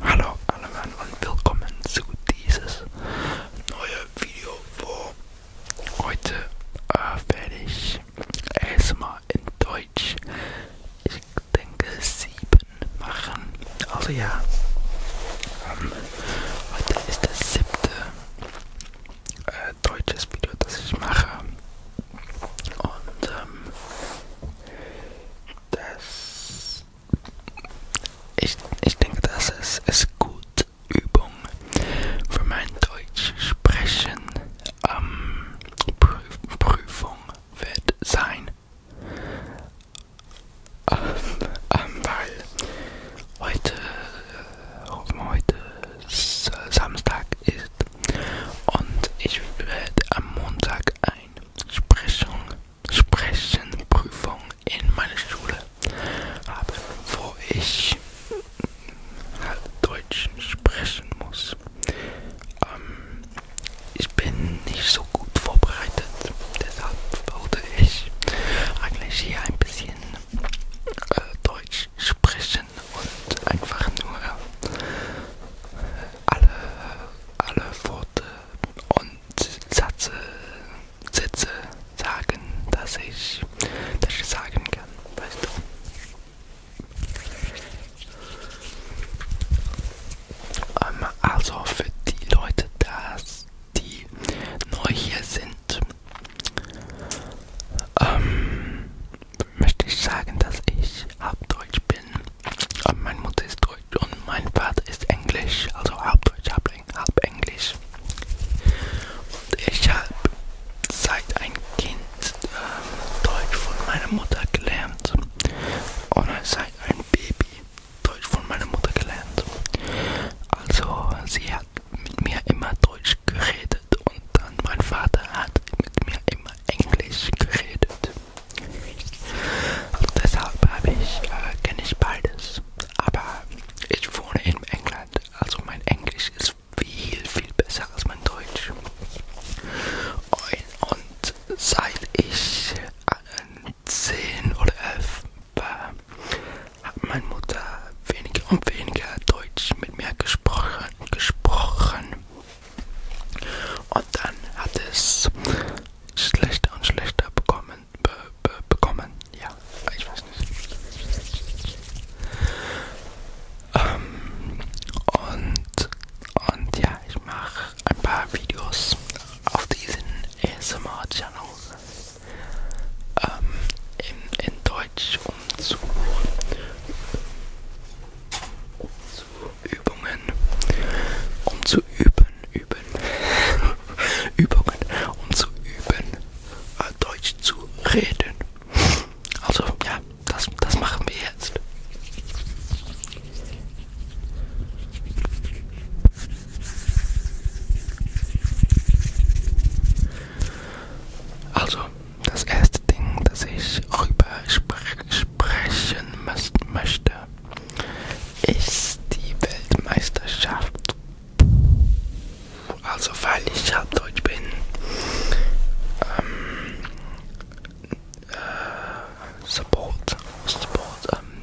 Hallo allemann und willkommen zu dieses neue Video, wo heute äh, werde ich erstmal in Deutsch, ich denke sieben machen. Also ja, ähm, heute ist das siebte äh, deutsches Video, das ich mache. Und ähm, das ich, ich denke, das ist, ist gut Übung für mein Deutsch sprechen ähm, Prüf, Prüfung wird sein. Ähm, ähm, weil heute, heute Samstag ist und ich werde am Montag ein Sprechung, Sprechenprüfung in meiner Schule habe, wo ich halt Deutsch sprechen muss. Ähm, ich bin nicht so gut vorbereitet, deshalb wollte ich eigentlich hier ein bisschen äh, Deutsch sprechen und einfach nur äh, alle, alle vor Worte und Sätze, Sätze sagen, dass ich, dass ich sagen kann, weißt du. Ähm, also für die Leute, dass die neu hier sind, ähm, möchte ich sagen, dass ich ich Halbdeutsch bin. Aber meine Mutter ist Deutsch und mein Vater ist Englisch, also Halbdeutsch, halb, halb Englisch. Und ich habe seit ein Kind ähm, Deutsch von meiner Mutter gelernt. Und seit ein Baby Deutsch von meiner Mutter gelernt. Also sie hat mit mir immer Deutsch geredet und dann mein Vater hat mit mir immer Englisch geredet. Deshalb habe ich, äh, kenne ich beides. Aber ich wohne in England, also mein Englisch ist viel, viel besser als mein Deutsch. Und, und seit ich äh, 10 oder 11 war, hat meine Mutter weniger und weniger Deutsch mit mir gesprochen. gesprochen. Und dann hat es schlechter und schlechter bekommen. Be, be, bekommen. Ja, ich weiß nicht. Ähm, und, und ja, ich mache ein paar Videos auf diesen ASMR-Channel ähm, in, in Deutsch, um zu, zu Übungen, um zu üben, üben, Übungen, um zu üben, äh, Deutsch zu reden. Also ja, das, das machen wir jetzt. Also, das erste Ding, das ich rüber spreche, sprechen möchte, ist die Weltmeisterschaft. Also weil ich halbdeutsch bin, ähm, äh, Support, Support, ähm,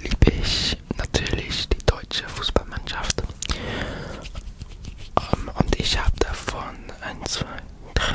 liebe ich natürlich die deutsche Fußballmannschaft. Ähm, und ich habe davon 1, 2, 3,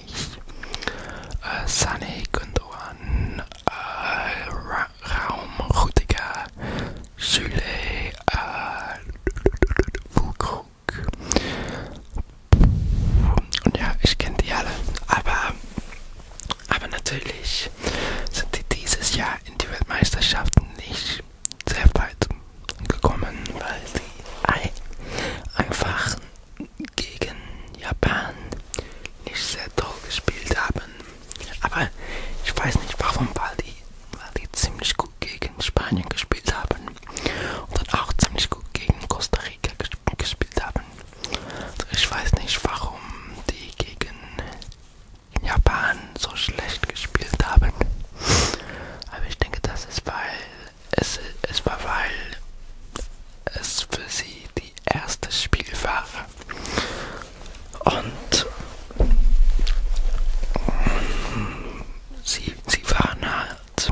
nicht. Äh, Sunny Gündogan, äh, Ra Raum Rudiger, Süle, äh, Fulkrug. Und ja, ich kenne die alle, aber, aber natürlich sind die dieses Jahr in die Weltmeisterschaften nicht sehr weit gekommen, weil sie einfach gegen Japan nicht sehr toll gespielt haben. Aber ich weiß nicht warum, weil die, weil die ziemlich gut gegen Spanien gespielt haben und dann auch ziemlich gut gegen Costa Rica gespielt haben. Also ich weiß nicht warum die gegen Japan so schlecht gespielt haben. Aber ich denke, das ist, weil es, es war, weil es für sie die erste Spiel war. Und sie, sie waren halt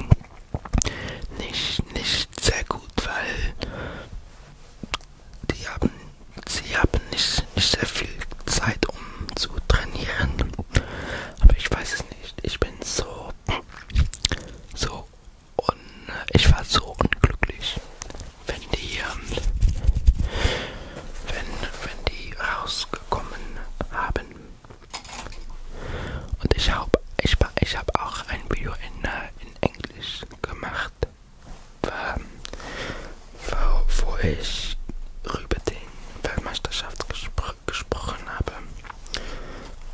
nicht, nicht sehr gut, weil die haben, sie haben nicht, nicht sehr viel Zeit, um zu trainieren. Aber ich weiß es nicht. Ich bin so, so und ich war so unglücklich, wenn die, ähm, wenn, wenn die rausgekommen haben. Und ich habe ich, ich hab auch ein Video in, äh, in Englisch gemacht, ähm, wo, wo ich über den Weltmeisterschaftsgespräch gesprochen habe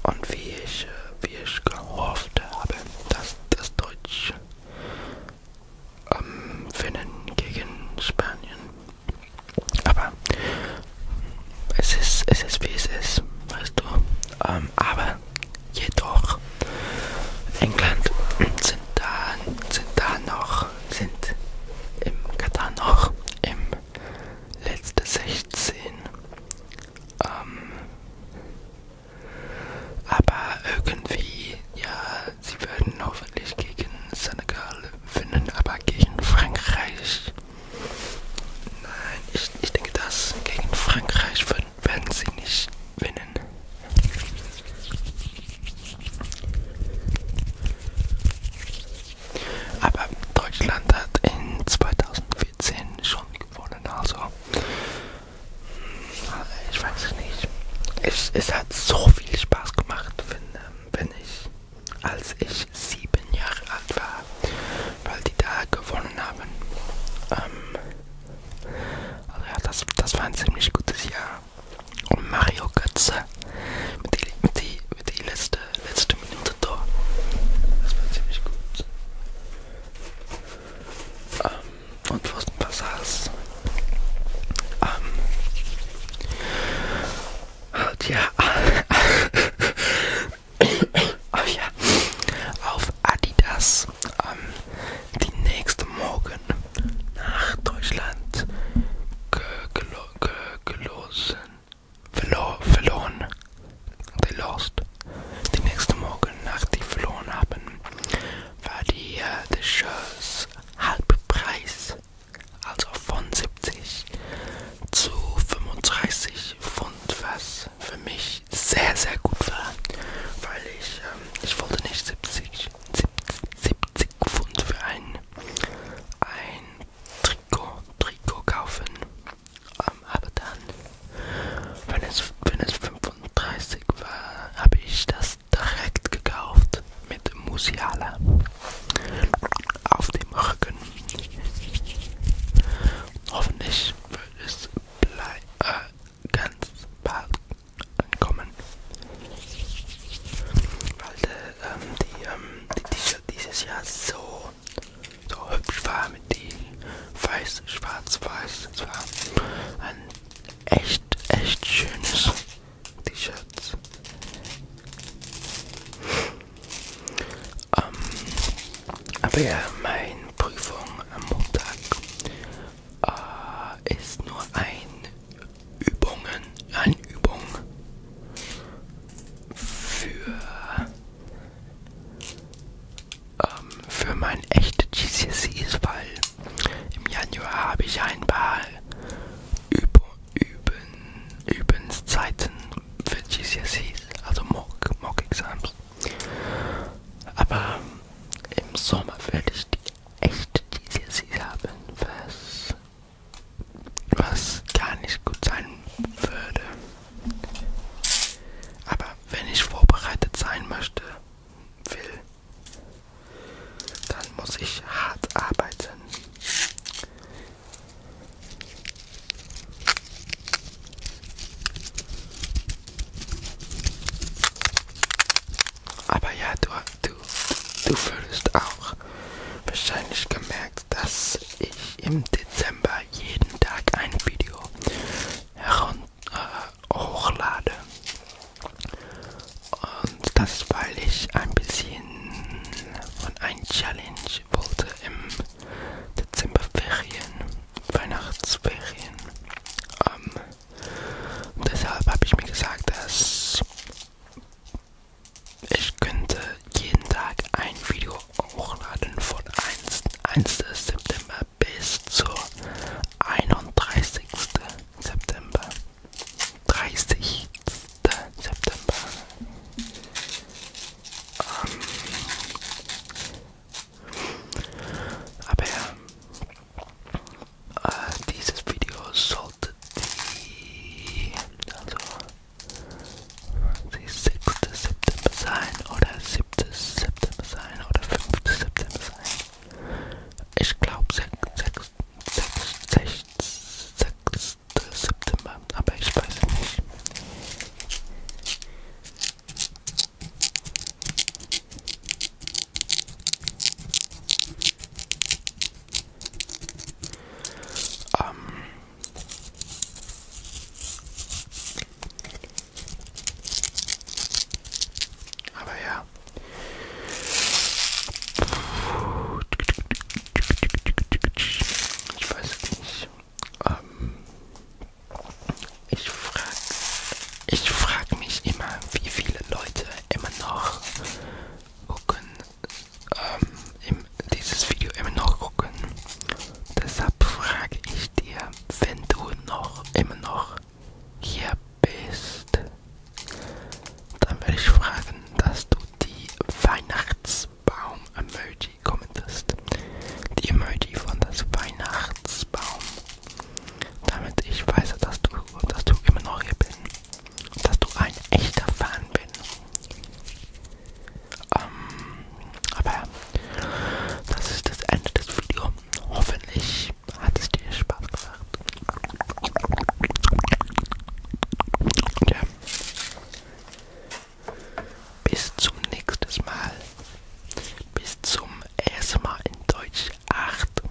und wie ich, wie ich gehofft habe, dass das Deutsch ähm, finden gegen Spanien. Aber es ist, es ist wie es ist, weißt du. Ähm, aber jedoch, England sind da, sind da noch, sind im Katar noch im letzten 16 ähm, aber irgendwie, ja, sie werden hoffentlich gegen Senegal finden, aber gegen Frankreich. Nein, ich, ich denke, dass gegen Frankreich werden, werden sie nicht gewinnen. Aber Deutschland hat in 2000 14 schon gewonnen, also hm, ich weiß es nicht. Es, es hat so viel Spaß gemacht, wenn, ähm, wenn ich, als ich sieben Jahre alt war, weil die da gewonnen haben. Ähm, also ja, das, das war ein ziemlich gutes Jahr. Und Mario Götze mit den mit die, mit die letzten letzte, letzte Minute da. Das war ziemlich gut. Um, ähm, und was, was heißt? Um, halt ja. oh ja. Auf Adidas. Um, ähm, die nächste Morgen nach Deutschland gelosen verlo verloren. They lost. Den nächsten Morgen, nach die verloren haben, war die uh, the Shows Halbpreis, also von 70 zu 35 Pfund, was für mich sehr, sehr gut war, weil ich, ähm, ich wollte nicht 70, 70, 70 Pfund für ein, ein Trikot, Trikot kaufen. Ähm, aber dann, wenn es, wenn es 35 war, habe ich das direkt gekauft mit Musiala auf dem Rücken. Hoffentlich wird es äh, ganz bald ankommen. Weil äh, ähm, die, ähm, die T-Shirt dieses Jahr so so hübsch war mit den weiß, schwarz, weiß. Es war ein echt, echt schönes T-Shirt. Ähm, aber ja, meine Prüfung am Montag äh, ist nur ein Übungen, eine Übung für ähm, für mein echte GCSEs, weil im Januar habe ich ein paar Üb Üben, Übenszeiten für GCSEs, also Mock-Exams. Mock Aber im Sommer werde ich die echte GCSEs haben, was, was gar nicht gut sein würde. Aber wenn ich vorbereitet sein möchte, will, dann muss ich hart arbeiten. Aber ja, du, du, du würdest auch wahrscheinlich gemerkt, dass ich im Dezember jeden Tag ein Video herunter äh, hochlade. Und das, weil ich ein bisschen von ein Challenge wollte im Dezemberferien, Weihnachtsferien. Ähm, deshalb habe ich mir gesagt, dass ich könnte jeden Tag ein Video hochladen von 1. 1. September bis zur 31. September. 30. September. Ähm aber ja, äh, dieses Video sollte die, also sie 6. September sein oder 7. September sein oder 5. September sein. Ich glaube 6. September, aber ich weiß es nicht. Ähm, aber ja. Ich weiß nicht. Ähm, ich frage ich frag mich immer, wie viele Leute immer noch gucken ähm, im dieses Video immer noch gucken. Deshalb frage ich dir, wenn du noch immer noch hier bist, dann werde ich fragen, dass du die Weihnachtsbaum-Emoji kommentierst. Die Emoji von das Weihnachtsbaum. Damit ich weiß, dass du, dass du immer noch hier bist. Dass du ein echter Fan bist. Ähm, aber das ist das Ende des Videos. Hoffentlich hat es dir Spaß gemacht. Ja. Bis zum nächsten Mal. Bis zum ersten Mal in Deutsch 8.